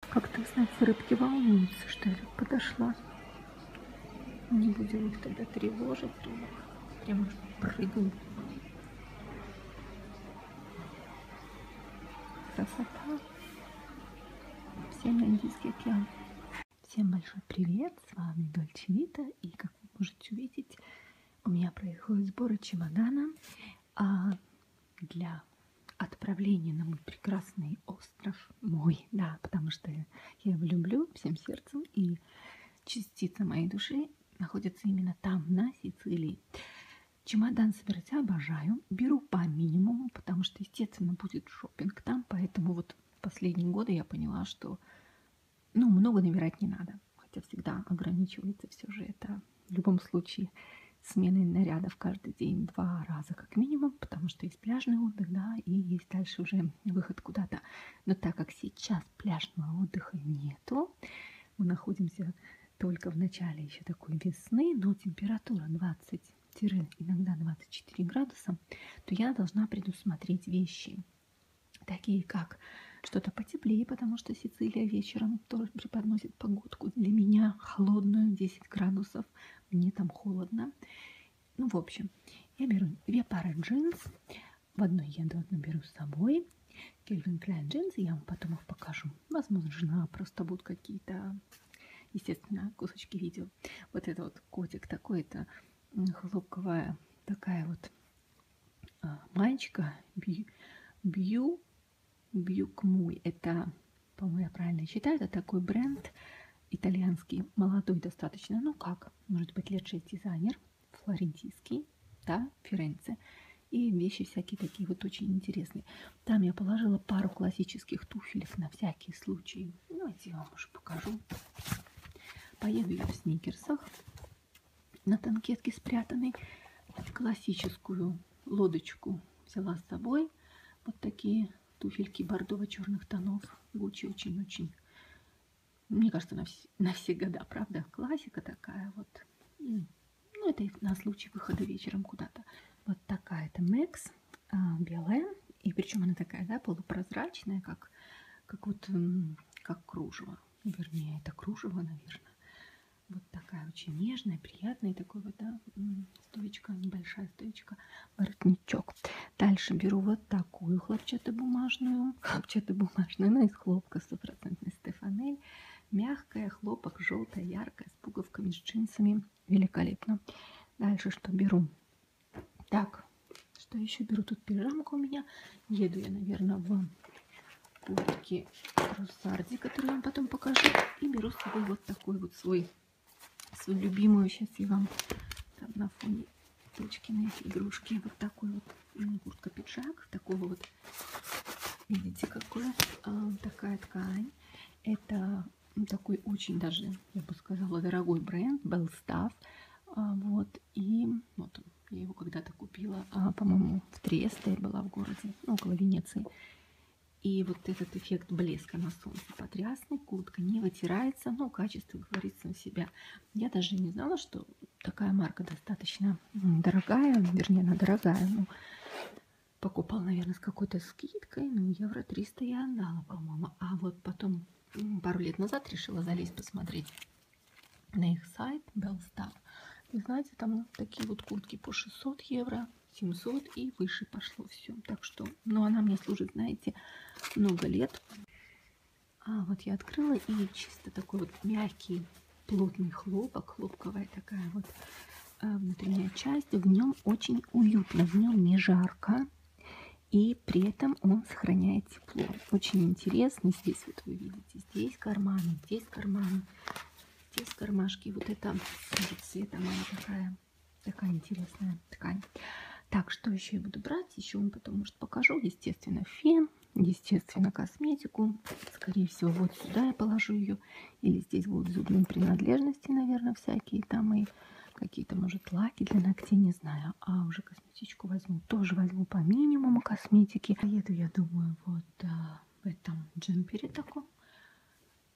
Как-то, знаете, рыбки волнуются, что я тут подошла. Не будем их тогда тревожить, думаю. Прямо прыгну. Красота. Всем Индийский океан. Всем большой привет, с вами Дольче Вита, и как вы можете увидеть, у меня происходит сборы чемодана а, для отправление на мой прекрасный остров. Мой, да, потому что я его люблю всем сердцем, и частица моей души находится именно там, на Сицилии. Чемодан собирать обожаю, беру по минимуму, потому что, естественно, будет шопинг там, поэтому вот последние годы я поняла, что ну, много набирать не надо, хотя всегда ограничивается все же это в любом случае сменой нарядов каждый день два раза как минимум, потому что есть пляжный отдых, да, и есть дальше уже выход куда-то. Но так как сейчас пляжного отдыха нету, мы находимся только в начале еще такой весны, но температура 20 иногда 24 градуса, то я должна предусмотреть вещи, такие как что-то потеплее, потому что Сицилия вечером тоже преподносит погодку для меня холодную 10 градусов градусов, мне там холодно. Ну, в общем, я беру две пары джинс, в одной я одну беру с собой. Кельвин Кляйн джинсы, я вам потом их покажу. Возможно, просто будут какие-то, естественно, кусочки видео. Вот это вот котик такой-то, хлопковая такая вот а, маечка, бью, бью Бьюкмуй. Это, по-моему, я правильно читаю, это такой бренд итальянский, молодой достаточно, ну как, может быть, лет 6 дизайнер, флорентийский, да, Ференце. И вещи всякие такие вот очень интересные. Там я положила пару классических туфелек на всякий случай. Давайте ну, я вам уже покажу. Поеду я в сникерсах на танкетке спрятанной. Классическую лодочку взяла с собой головой. Вот такие туфельки бордово-черных тонов. Гуччи очень-очень, мне кажется, на, вс на все года, правда? Классика такая вот. Ну, это и на случай выхода вечером куда-то. Вот такая-то Мекс, а, белая. И причем она такая, да, полупрозрачная, как, как вот, как кружево. Вернее, это кружево, наверное. Вот такая очень нежная, приятная. Такой вот, да, стоечка, небольшая стоечка, воротничок. Дальше беру вот такую хлопчатобумажную. Хлопчатобумажную, она ну, из хлопка, стопроцентный стефанель. Мягкая, хлопок, желтая, яркая, с пуговками, с джинсами. Великолепно. Дальше что беру? Так, что еще беру? Тут пижамка у меня. Еду я, наверное, в куртке свои трусарди, которые я вам потом покажу. И беру с собой вот такой вот свой, свою любимую. Сейчас я вам там на фоне точкины игрушки. Вот такой вот куртка-пиджак. Такого вот, видите, какое? А, такая ткань. Это ну, такой очень даже, я бы сказала, дорогой бренд Белстав. А, вот, и вот он. Я его когда-то купила, а, по-моему, в Тресте была в городе, ну, около Венеции. И вот этот эффект блеска на солнце потрясный. Куртка не вытирается, но качество говорит сам себя. Я даже не знала, что такая марка достаточно дорогая. Вернее, она дорогая. Ну, покупал, наверное, с какой-то скидкой. Ну, евро 300 я отдала, по-моему. А вот потом, пару лет назад, решила залезть посмотреть на их сайт Bellstar. И знаете, там такие вот куртки по 600 евро, 700 и выше пошло все. Так что, ну, она мне служит, знаете, много лет. А вот я открыла и чисто такой вот мягкий, плотный хлопок, хлопковая такая вот э, внутренняя часть. В нем очень уютно, в нем не жарко. И при этом он сохраняет тепло. Очень интересно. Здесь вот вы видите, здесь карманы, здесь карманы. Здесь кармашки. Вот это цвета она такая, такая интересная ткань. Так, что еще я буду брать? Еще вам потом, может, покажу. Естественно, фен, естественно, косметику. Скорее всего, вот сюда я положу ее. Или здесь будут зубные принадлежности, наверное, всякие там и какие-то, может, лаки для ногтей, не знаю. А уже косметичку возьму. Тоже возьму по минимуму косметики. Поеду, я думаю, вот а, в этом джемпере таком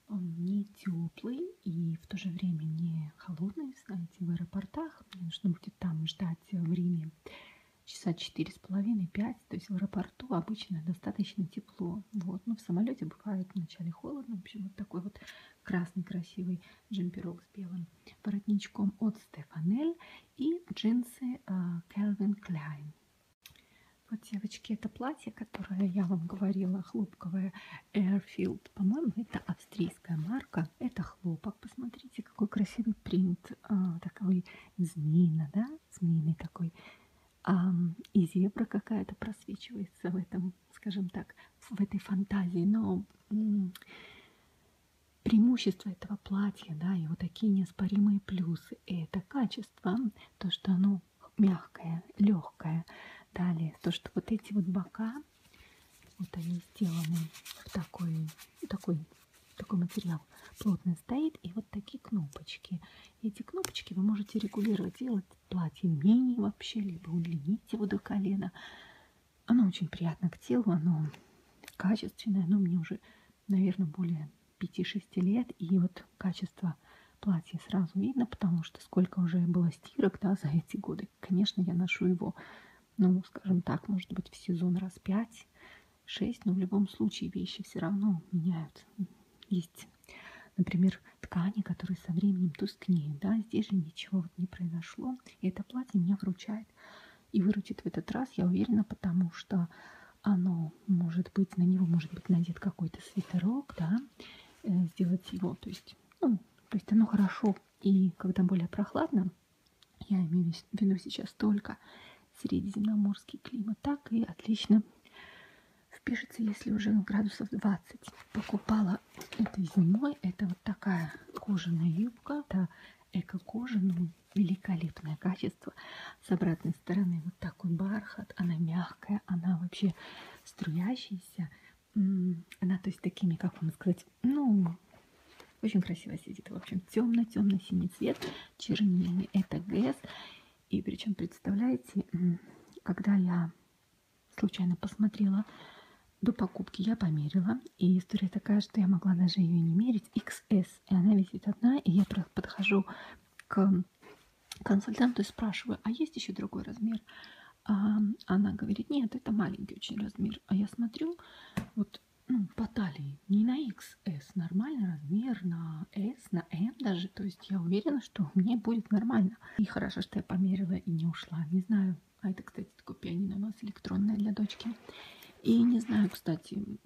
он не теплый и в то же время не холодный. Знаете, в аэропортах мне нужно будет там ждать время часа четыре с половиной, пять. То есть в аэропорту обычно достаточно тепло. Вот, но в самолете бывает вначале холодно. В общем, вот такой вот красный красивый джемперок с белым воротничком от Стефанель и джинсы а, Calvin Klein. Вот, девочки, это платье, которое я вам говорила, хлопковое Airfield. По-моему, это австрийская марка. Это хлопок. Посмотрите, какой красивый принт. А, такой змеина, да? Змеиный такой. А, и зебра какая-то просвечивается в этом, скажем так, в этой фантазии. Но м -м, преимущество этого платья, да, его такие неоспоримые плюсы. И это качество, то, что оно мягкое, легкое. Далее, то, что вот эти вот бока, вот они сделаны в такой, такой, такой материал плотно стоит. И вот такие кнопочки. Эти кнопочки вы можете регулировать, делать платье менее вообще, либо удлинить его до колена. Оно очень приятно к телу, оно качественное, но мне уже, наверное, более 5-6 лет, и вот качество платья сразу видно, потому что сколько уже было стирок да, за эти годы. Конечно, я ношу его, ну, скажем так, может быть, в сезон раз 5-6, но в любом случае вещи все равно меняются. Есть, например, ткани, которые со временем тускнеют, да, здесь же ничего вот не произошло, и это платье меня вручает и выручит в этот раз, я уверена, потому что оно может быть, на него может быть надет какой-то свитерок, да, э, сделать его, то есть, ну, то есть оно хорошо, и когда более прохладно, я имею в виду сейчас только средиземноморский климат, так и отлично впишется, если уже градусов 20. Покупала этой зимой, это вот такая кожаная юбка, это эко-кожа, ну, великолепное качество с обратной стороны вот такой бархат, она мягкая, она вообще струящаяся, она то есть такими, как вам сказать, ну, очень красиво сидит, в общем, темно-темно-синий цвет, чернильный, это ГЭС, и причем, представляете, когда я случайно посмотрела до покупки, я померила, и история такая, что я могла даже ее не мерить, XS, и она висит одна, и я подхожу к консультанту и спрашиваю, а есть еще другой размер? А она говорит, нет, это маленький очень размер. А я смотрю, вот ну, по талии, не на XS, нормальный размер, на S, на M даже. То есть я уверена, что мне будет нормально. И хорошо, что я померила и не ушла. Не знаю, а это, кстати, такое пианино у нас электронное для дочки. И не знаю, кстати,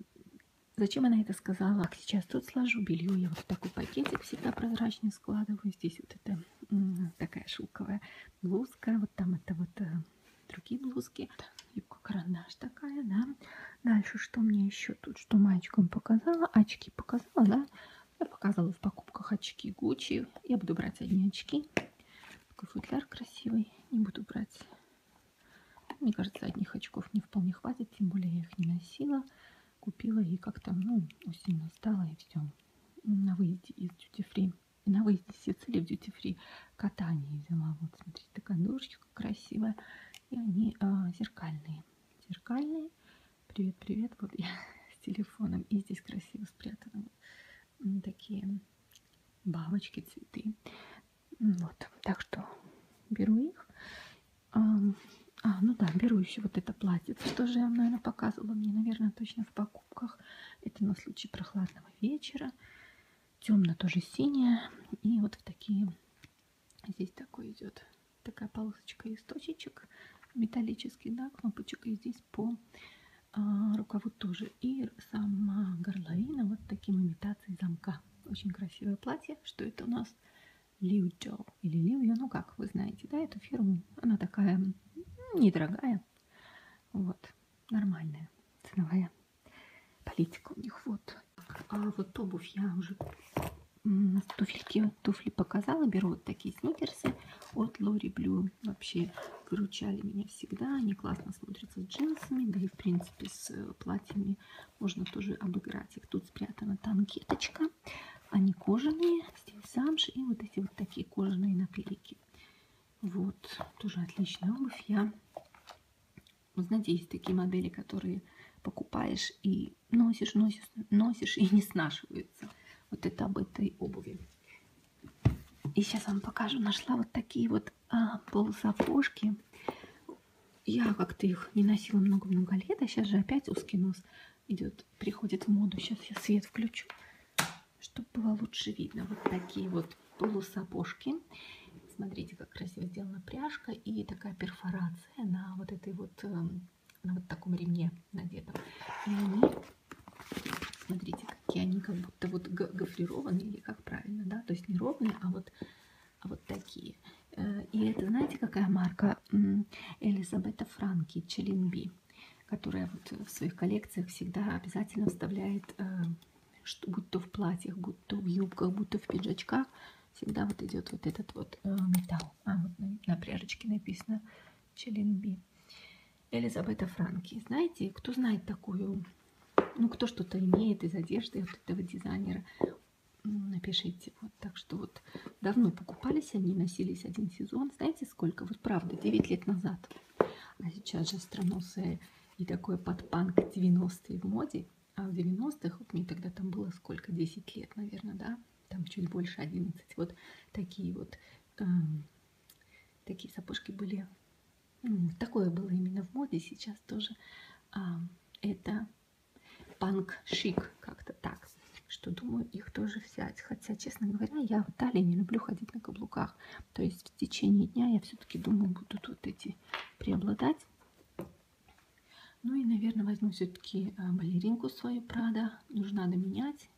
Зачем она это сказала? Так, сейчас тут сложу белье, я вот в такой пакетик всегда прозрачный складываю. Здесь вот это такая шелковая блузка, вот там это вот э, другие блузки. Юбка-карандаш такая, да. Дальше, что мне еще тут, что маечкам показала? Очки показала, да. Я показывала в покупках очки Гуччи. Я буду брать одни очки. Такой футляр красивый. Не буду брать. Мне кажется, одних очков не вполне хватит, тем более я их не носила. Купила и как-то, ну, усильно стала и все. На выезде из Duty Free. На выезде из Сицилии в Duty Free катание взяла. Вот, смотрите, такая дурочка красивая. И они а, зеркальные. Зеркальные. Привет-привет. Вот я с телефоном. И здесь красиво спрятаны такие бабочки, цветы. Вот, так что беру их а, ну да, беру еще вот это платье. Что же я вам, наверное, показывала? Мне, наверное, точно в покупках. Это на случай прохладного вечера. Темно тоже синее. И вот в такие... Здесь такой идет такая полосочка из точечек. Металлический, да, кнопочек. И здесь по а, рукаву тоже. И сама горловина вот таким имитацией замка. Очень красивое платье. Что это у нас? Liujo или Liujo, ну как вы знаете, да, эту фирму, она такая недорогая, вот, нормальная ценовая политика у них, вот. А вот обувь я уже туфельки, туфли показала, беру вот такие сникерсы от Лори Блю, вообще выручали меня всегда, они классно смотрятся с джинсами, да и в принципе с э, платьями можно тоже обыграть их. Тут спрятана танкеточка. Они а кожаные. Здесь замш и вот эти вот такие кожаные наклейки. Вот. Тоже отличная обувь. Я... Вы знаете, есть такие модели, которые покупаешь и носишь, носишь, носишь и не снашиваются. Вот это об этой обуви. И сейчас вам покажу. Нашла вот такие вот а, полусапожки я как-то их не носила много-много лет, а сейчас же опять узкий нос идет, приходит в моду. Сейчас я свет включу, чтобы было лучше видно. Вот такие вот полусапожки. Смотрите, как красиво сделана пряжка и такая перфорация на вот этой вот, э, на вот таком ремне надетом. И они, смотрите, какие они как будто вот гофрированные, или как правильно, да, то есть не ровные, а вот вот такие. Э, и это, знаете, какая марка? Элизабета Франки, Челенби, которая вот в своих коллекциях всегда обязательно вставляет, э, что, будь то в платьях, будь то в юбках, будь то в пиджачках, всегда вот идет вот этот вот э, металл. А, вот на, на пряжечке написано Челенби. Элизабета Франки. Знаете, кто знает такую, ну, кто что-то имеет из одежды вот этого дизайнера, ну, напишите. Вот так что вот давно покупались они, носились один сезон. Знаете сколько? Вот правда, 9 лет назад. А сейчас же остроносые и такое подпанк 90-е в моде. А в 90-х, вот мне тогда там было сколько, 10 лет, наверное, да? Там чуть больше 11. Вот такие вот, э, такие сапожки были. Такое было именно в моде, сейчас тоже. Э, это панк-шик, как-то так. Что думаю, их тоже взять. Хотя, честно говоря, я в Италии не люблю ходить на каблуках. То есть в течение дня я все-таки думаю, будут вот эти преобладать. Ну и, наверное, возьму все-таки э, балеринку свою Прада. Нужно надо менять.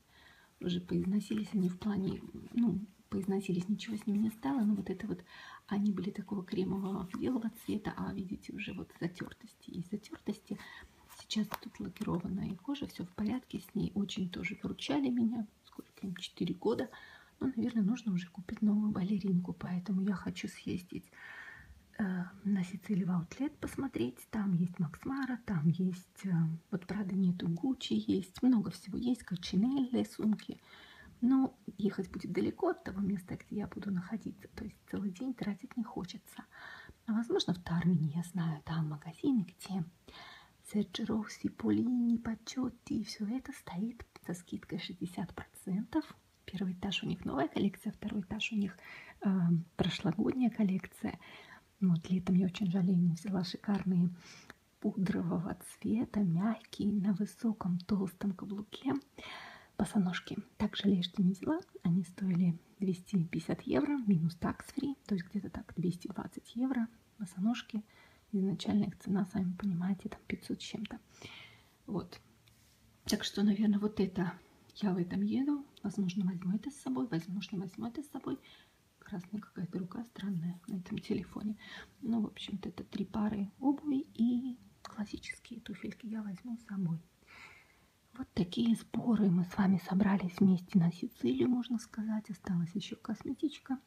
Уже поизносились они в плане, ну, поизносились, ничего с ними не стало. Но вот это вот они были такого кремового белого цвета, а видите, уже вот затертости и затертости. Сейчас тут лакированная кожа, все в порядке с ней. Очень тоже выручали меня, сколько им, 4 года. Ну, наверное, нужно уже купить новую балеринку, поэтому я хочу съездить э, на Сицилии в Аутлет посмотреть. Там есть Максмара, там есть, э, вот правда нету Гуччи, есть много всего. Есть качинелли, сумки. Но ну, ехать будет далеко от того места, где я буду находиться. То есть есть целый день тратить не хочется. А возможно, в Тармине, я знаю, там магазины, где Серджеровси, Полини, Почетти, и все это стоит со скидкой 60%. Первый этаж у них новая коллекция, второй этаж у них э, прошлогодняя коллекция. Вот летом я очень жалею, не взяла шикарные пудрового цвета, мягкие, на высоком толстом каблуке. Босоножки также лежьте не взяла. Они стоили 250 евро минус такс-фри, то есть где-то так 220 евро. Босоножки, изначально их цена, сами понимаете, там 500 с чем-то. Вот. Так что, наверное, вот это я в этом еду. Возможно, возьму это с собой, возможно, возьму это с собой. Красная какая-то рука странная на этом телефоне. Ну, в общем-то, это три пары обуви и классические туфельки я возьму с собой. Вот такие сборы мы с вами собрались вместе на Сицилию, можно сказать. Осталась еще косметичка.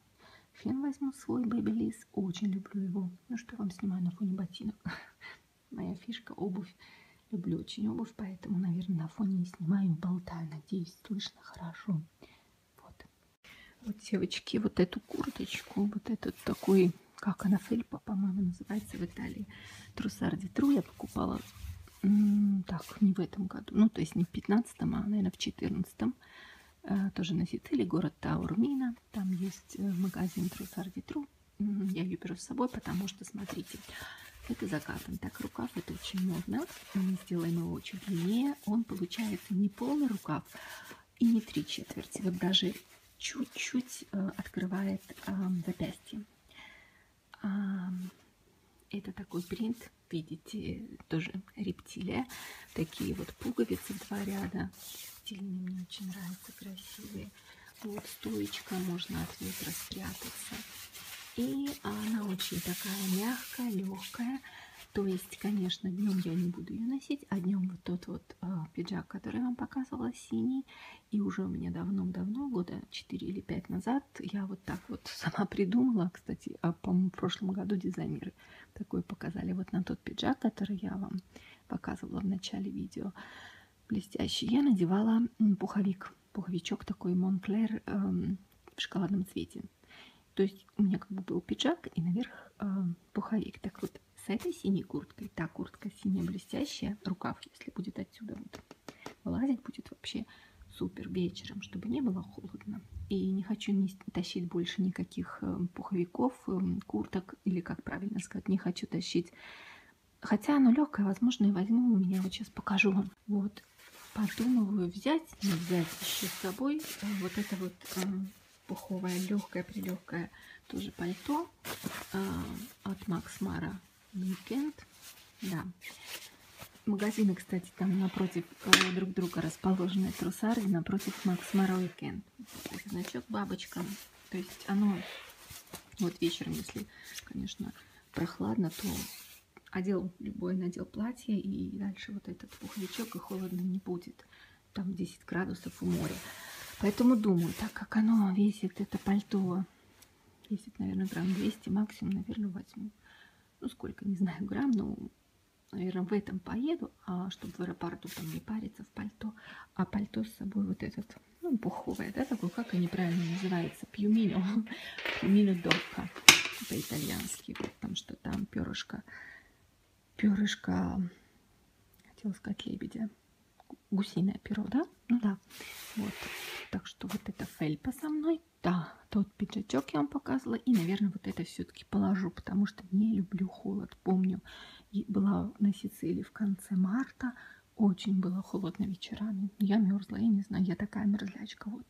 Фен возьму свой Babyliss, очень люблю его. Ну что вам снимаю на фоне ботинок? Моя фишка обувь. Люблю очень обувь, поэтому, наверное, на фоне не снимаю, болтаю. Надеюсь, слышно хорошо. Вот. Вот, девочки, вот эту курточку, вот этот такой как она, Фельпа, по-моему, называется в Италии. Трусарди Тру я покупала, так, не в этом году, ну, то есть не в 15 а, наверное, в 14 э, Тоже на Сицилии, город Таурмина. Там есть э, магазин Трусарди Тру. Я ее беру с собой, потому что, смотрите, это закатан. Так, рукав это очень модно. Мы сделаем его чуть длиннее. Он получается не полный рукав, и не три четверти. Вот даже чуть-чуть э, открывает э, запястье. А, это такой принт, видите, тоже рептилия. Такие вот пуговицы два ряда. Стильные, мне очень нравятся, красивые. Вот стоечка, можно от ветра спрятаться. И она очень такая мягкая, легкая. То есть, конечно, днем я не буду ее носить, а днем вот тот вот тот э, а, пиджак, который я вам показывала, синий. И уже у меня давно-давно, года 4 или 5 назад, я вот так вот сама придумала, кстати, а, по-моему, в прошлом году дизайнеры такой показали вот на тот пиджак, который я вам показывала в начале видео. Блестящий. Я надевала пуховик, пуховичок такой Монклер э, эм, в шоколадном цвете. То есть у меня как бы был пиджак и наверх э, пуховик. Так вот, вот с этой синей курткой, та куртка синяя блестящая, рукав, если будет отсюда вот вылазить, будет вообще супер вечером, чтобы не было холодно. И не хочу не тащить больше никаких э, пуховиков, э, курток, или как правильно сказать, не хочу тащить. Хотя оно легкое, возможно, и возьму у меня. Вот сейчас покажу вам. Вот, подумываю взять, не взять еще с собой э, вот это вот эм, пуховое, легкое-прилегкое тоже пальто э, от Макс Мара Weekend. Да. Магазины, кстати, там напротив э, друг друга расположены трусары, напротив Макс Мара Weekend. Значок бабочка. То есть оно вот вечером, если, конечно, прохладно, то одел любой надел платье и дальше вот этот пуховичок и холодно не будет там 10 градусов у моря. Поэтому думаю, так как оно весит, это пальто весит, наверное, грамм 200, максимум, наверное, возьму. Ну, сколько, не знаю, грамм, но, наверное, в этом поеду, а чтобы в аэропорту там не париться в пальто. А пальто с собой вот этот, ну, пуховое, да, такой, как они правильно называются, пьюмино, пьюмино докка по-итальянски, потому что там перышко перышко, хотела сказать лебедя, гусиное перо, да? Ну да, вот. Так что вот это фельпа со мной, да, тот пиджачок я вам показывала, и, наверное, вот это все-таки положу, потому что не люблю холод, помню, и была на Сицилии в конце марта, очень было холодно вечерами, я мерзла, я не знаю, я такая мерзлячка, вот.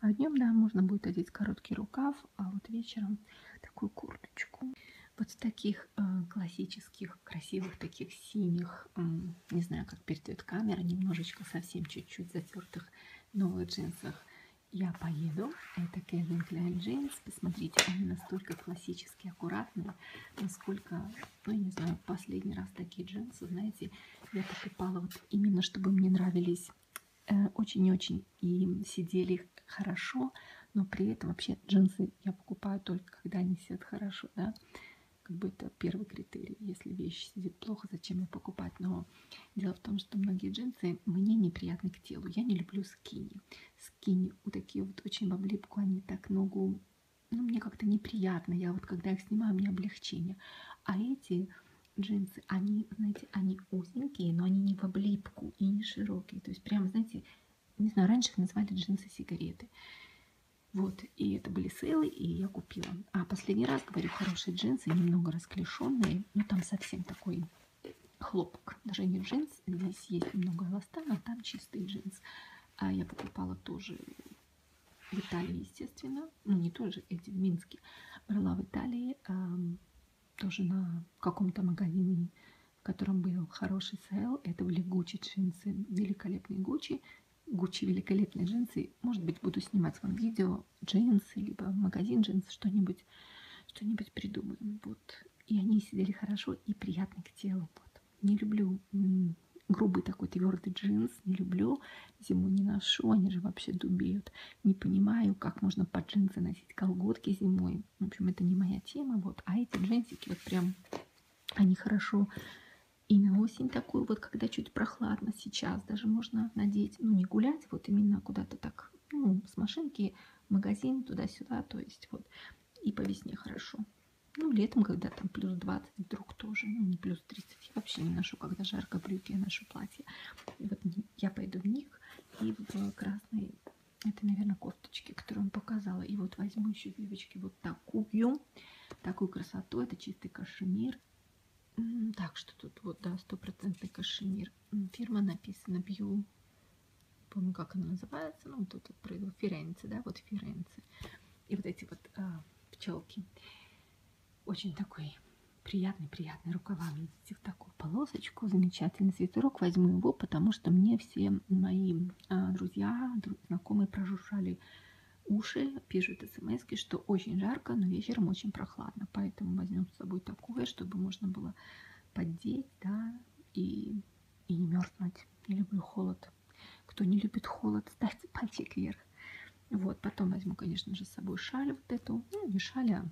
А днем, да, можно будет одеть короткий рукав, а вот вечером такую курточку. Вот в таких таких э, классических, красивых, таких синих, не знаю, как передает камера, немножечко, совсем чуть-чуть затертых новых джинсах я поеду. Это Calvin Klein Jeans. Посмотрите, они настолько классические, аккуратные, насколько, ну, я не знаю, последний раз такие джинсы, знаете, я покупала вот именно, чтобы мне нравились э, очень и очень и сидели хорошо, но при этом вообще джинсы я покупаю только когда они сидят хорошо, да, как бы это первый критерий. Если вещь сидит плохо, зачем ее покупать? Но дело в том, что многие джинсы мне неприятны к телу. Я не люблю скини. Скини у такие вот очень в облипку, они так ногу, ну мне как-то неприятно. Я вот когда их снимаю, у меня облегчение. А эти джинсы, они, знаете, они узенькие, но они не в облипку и не широкие. То есть прям, знаете, не знаю, раньше их назвали джинсы-сигареты. Вот, и это были сейлы, и я купила. А последний раз, говорю, хорошие джинсы, немного расклешенные, но там совсем такой э, хлопок. Даже не джинс, здесь есть немного эластана, а там чистый джинс. А я покупала тоже в Италии, естественно. Ну, не тоже эти, в Минске. Брала в Италии, а, тоже на каком-то магазине в котором был хороший сейл. Это были Гуччи джинсы, великолепные Гуччи. Гуччи великолепные джинсы. Может быть, буду снимать вам видео джинсы, либо магазин джинс, что-нибудь что-нибудь придумаем. Вот. И они сидели хорошо и приятно к телу. Вот. Не люблю грубый такой твердый джинс, не люблю, зиму не ношу, они же вообще дубеют. Не понимаю, как можно под джинсы носить колготки зимой, в общем, это не моя тема, вот. А эти джинсики вот прям, они хорошо и на осень такую, вот когда чуть прохладно сейчас, даже можно надеть, ну, не гулять, вот именно куда-то так, ну, с машинки, магазин, туда-сюда, то есть вот. И по весне хорошо. Ну, летом, когда там плюс 20 вдруг тоже, ну, не плюс 30, я вообще не ношу, когда жарко брюки, я ношу платье. И вот я пойду в них и в э, красный это, наверное, кофточки, которые он показала. И вот возьму еще, девочки, вот такую. Такую красоту. Это чистый кашемир. Так что тут вот, да, стопроцентный кашемир. Фирма написана Бью. Помню, как она называется. Ну, тут вот произвел Ференце, да, вот Ференце. И вот эти вот а, пчелки. Очень такой приятный-приятный рукавами видите, в такую полосочку. Замечательный свитерок. Возьму его, потому что мне все мои а, друзья, друг, знакомые прожужжали уши, пишут смс что очень жарко, но вечером очень прохладно. Поэтому возьмем с собой такое, чтобы можно было поддеть, да, и, и не мерзнуть. Не люблю холод. Кто не любит холод, ставьте пальчик вверх. Вот, потом возьму, конечно же, с собой шаль вот эту. Ну, не шаль, а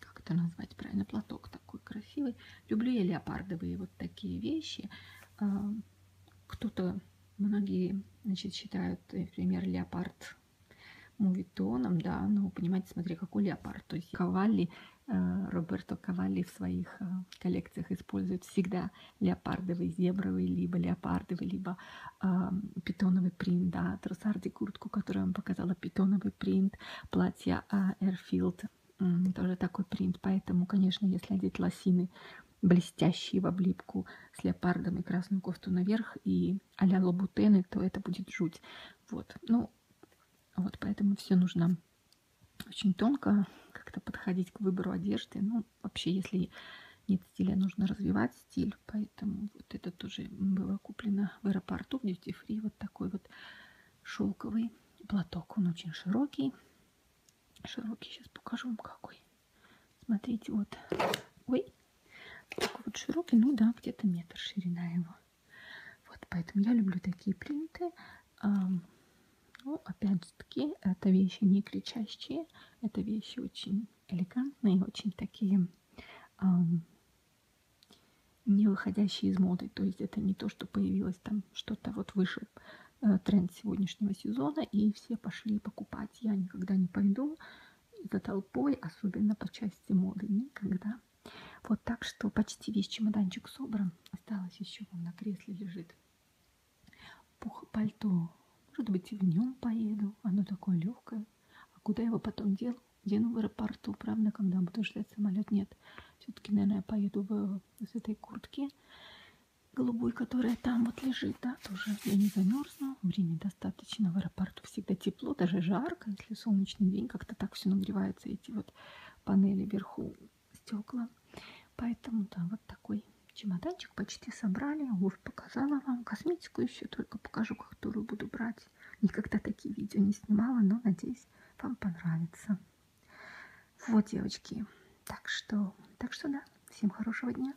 как это назвать правильно, платок такой красивый. Люблю я леопардовые вот такие вещи. А, кто-то, многие, значит, считают, например, леопард мувитоном, да, но, понимаете, смотри, какой леопард. То есть Кавалли, э, Роберто Кавалли в своих э, коллекциях использует всегда леопардовый, зебровый, либо леопардовый, либо э, питоновый принт, да, трусарди куртку, которую я вам показала, питоновый принт, платье э, а, Федерфилд. Тоже такой принт, поэтому, конечно, если одеть лосины блестящие в облипку с леопардом и красную кофту наверх и а-ля лабутены, то это будет жуть. Вот, ну, вот, поэтому все нужно очень тонко как-то подходить к выбору одежды. Ну, вообще, если нет стиля, нужно развивать стиль. Поэтому вот это тоже было куплено в аэропорту в Duty Free. Вот такой вот шелковый платок. Он очень широкий. Широкий, сейчас покажу вам какой. Смотрите, вот. Ой, такой вот широкий, ну да, где-то метр ширина его. Вот, поэтому я люблю такие принты. Ну, опять же таки, это вещи не кричащие, это вещи очень элегантные, очень такие не выходящие из моды. То есть это не то, что появилось там что-то вот выше э, тренд сегодняшнего сезона, и все пошли покупать. Я никогда не пойду за толпой, особенно по части моды. Никогда. Вот так что почти весь чемоданчик собран. Осталось еще он на кресле лежит. Пух пальто. Может быть, и в нем поеду. Оно такое легкое. А куда его потом дел? еду в аэропорту, правда, когда буду ждать самолет, нет. Все-таки, наверное, я поеду в, с этой куртки голубой, которая там вот лежит, да, тоже я не замерзну, времени достаточно, в аэропорту всегда тепло, даже жарко, если солнечный день, как-то так все нагревается, эти вот панели вверху, стекла, поэтому, да, вот такой чемоданчик почти собрали, обувь показала вам, косметику еще только покажу, которую буду брать делать. Никогда такие видео не снимала, но надеюсь, вам понравится. Вот, девочки. Так что, так что да, всем хорошего дня.